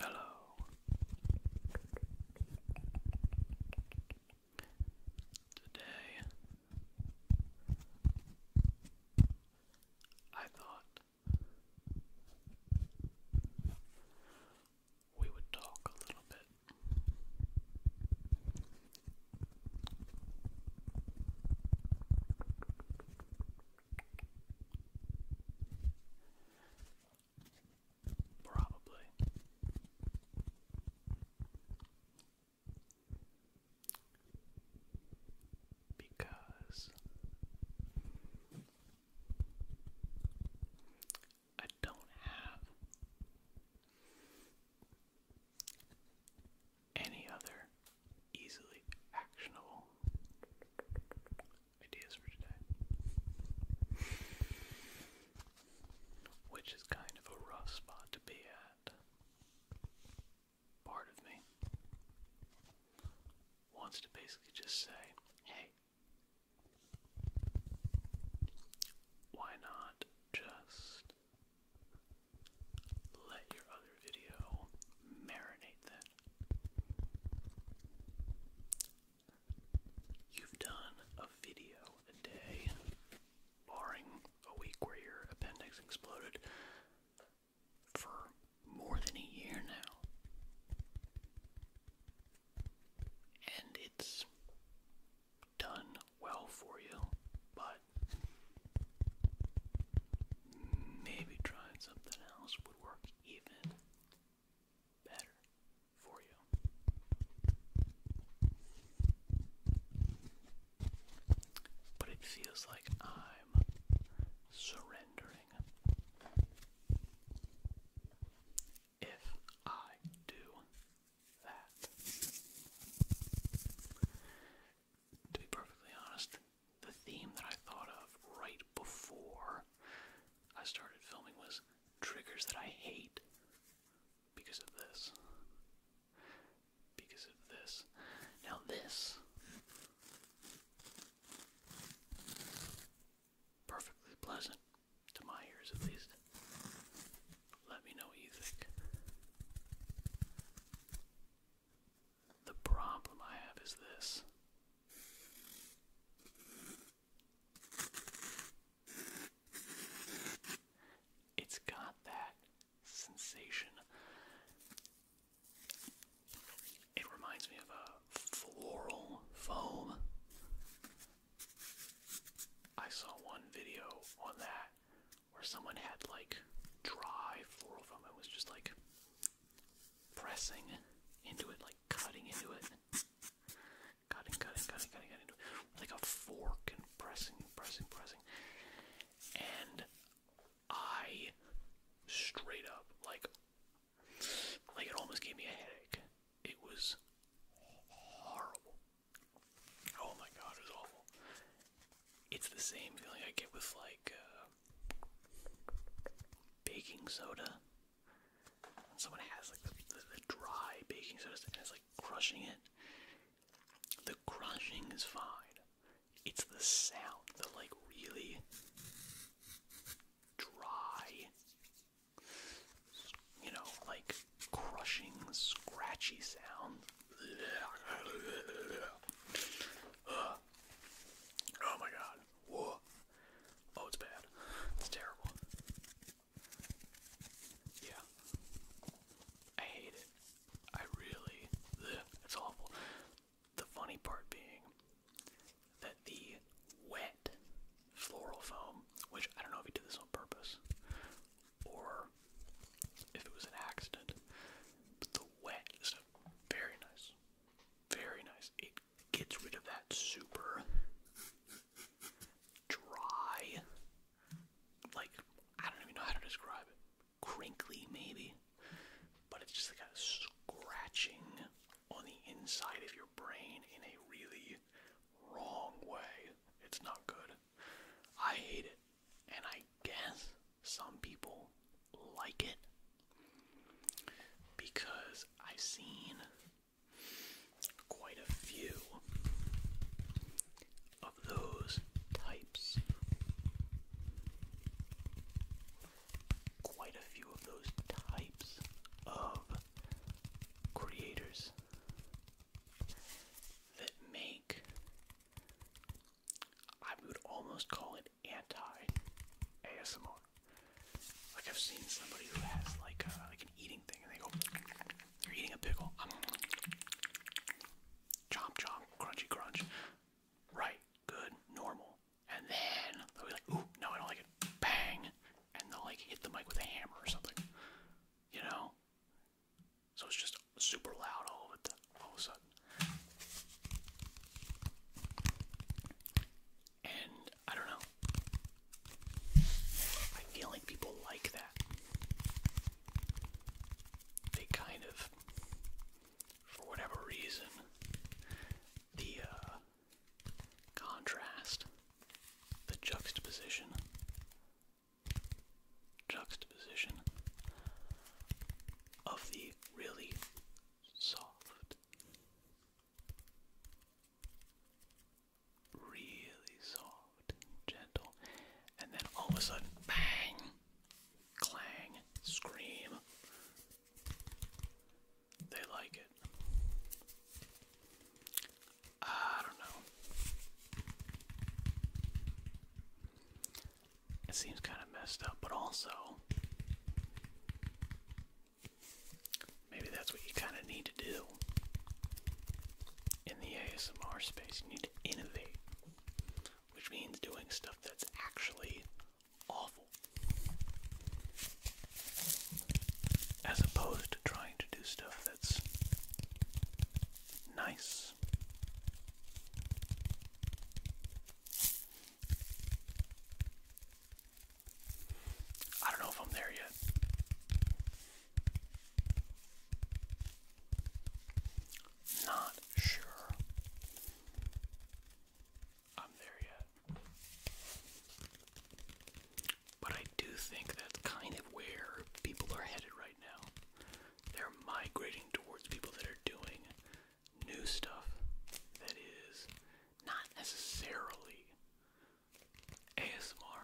Hello. Today, I thought we would talk a little bit Probably. Because I don't have any other easily actionable ideas for today. Which is kind of a rough spot to be at. Part of me wants to basically just say, hey, why not just let your other video marinate then? You've done a video a day, barring a week where your appendix exploded, for more than a year now. And it's done well for you, but maybe trying something else would work even better for you. But it feels like I'm surrendering. If I do that. To be perfectly honest, the theme that I thought of right before I started filming was triggers that I hate because of this. Because of this. Now, this perfectly pleasant to my ears at least. Let me know what you think. The problem I have is this. It's got that sensation. It reminds me of a floral foam. I saw one video on that where someone had like dry floral foam. It was just like pressing into it, like cutting into it. Cutting, cutting, cutting, cutting, cutting into it. Like a fork and pressing, pressing, pressing. And I straight up like like it almost gave me a headache. It was horrible. Oh my god, it was awful. It's the same feeling I get with like uh, baking soda. When someone has like the, the dry baking soda and it's like crushing it. The crushing is fine. It's the sound, the like really dry, you know, like crushing, scratchy sound. Oh my god. Whoa. Oh, it's bad. It's terrible. Yeah. I hate it. I really. Ugh, awful. The funny part being that the wet floral foam, which I don't know if he did this on purpose or if it was an accident, the wet is very nice. Very nice. It gets rid of that super dry, like, I don't even know how to describe it. Crinkly, maybe. But it's just like scratching on the inside of your brain in a really wrong way. It's not good. I hate it. And I guess some people like it because I've seen quite a few of those types. Quite a few of those types of creators that make, I would almost call it anti ASMR. Like I've seen somebody who has like a, uh, like an eating thing, and they go, they are eating a pickle." Um, chomp chomp, crunchy crunch. Right, good, normal. And then they'll be like, "Ooh, no, I don't like it." Bang, and they'll like hit the mic with a hammer or something. You know. So it's just super loud all of it all of a sudden. And I don't know. I feel like people like that. They kind of, for whatever reason, the uh, contrast, the juxtaposition, juxtaposition of the really soft, really soft, gentle, and then all of a sudden, bang, clang, scream. They like it. I don't know. It seems kind of messed up, but also maybe that's what you kind of need to do in the ASMR space. You need to innovate, which means doing stuff that's actually awful, as opposed to trying to do stuff that's nice. I don't know if I'm there yet. Not sure I'm there yet. But I do think that's kind of where people are headed right now. They're migrating towards people that are doing new stuff that is not necessarily ASMR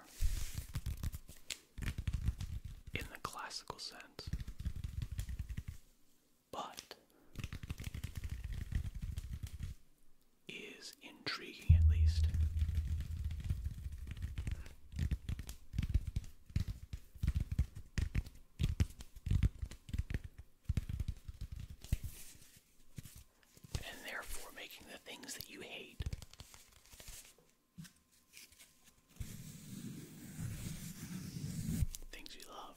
in the classical sense, but is intriguing at least and therefore making the things that you hate. Things you love.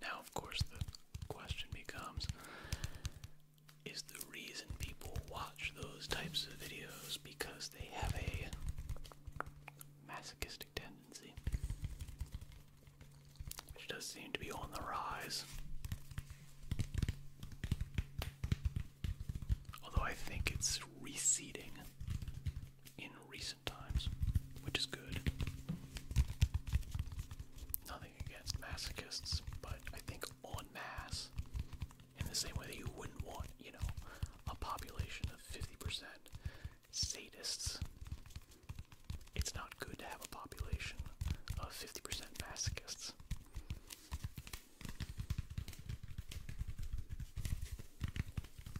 Now, of course, the question becomes is the reason people watch those types of videos because they have a masochistic tendency? Which does seem to be on the rise. Although I think it's receding in recent times, which is good. Nothing against masochists, but I think en masse, in the same way that you wouldn't want, you know, a population of 50% sadists, it's not good to have a population of 50% masochists.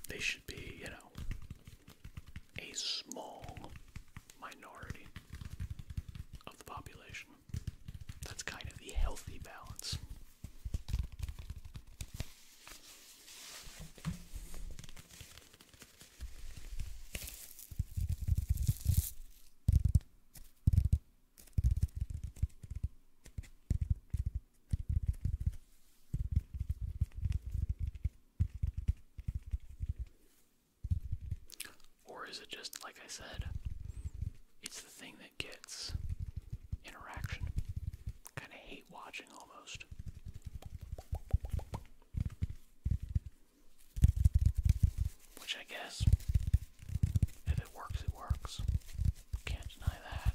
They should be, you know, a small minority of the population. That's kind of the healthy balance. Or is it just, like I said, it's the thing that gets interaction? Kind of hate watching almost. Which I guess, if it works, it works. Can't deny that.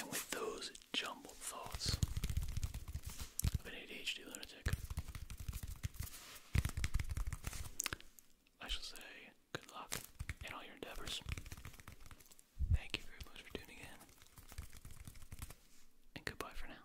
And with those jumbled thoughts of an ADHD lunatic, I shall say good luck in all your endeavors. Thank you very much for tuning in, and goodbye for now.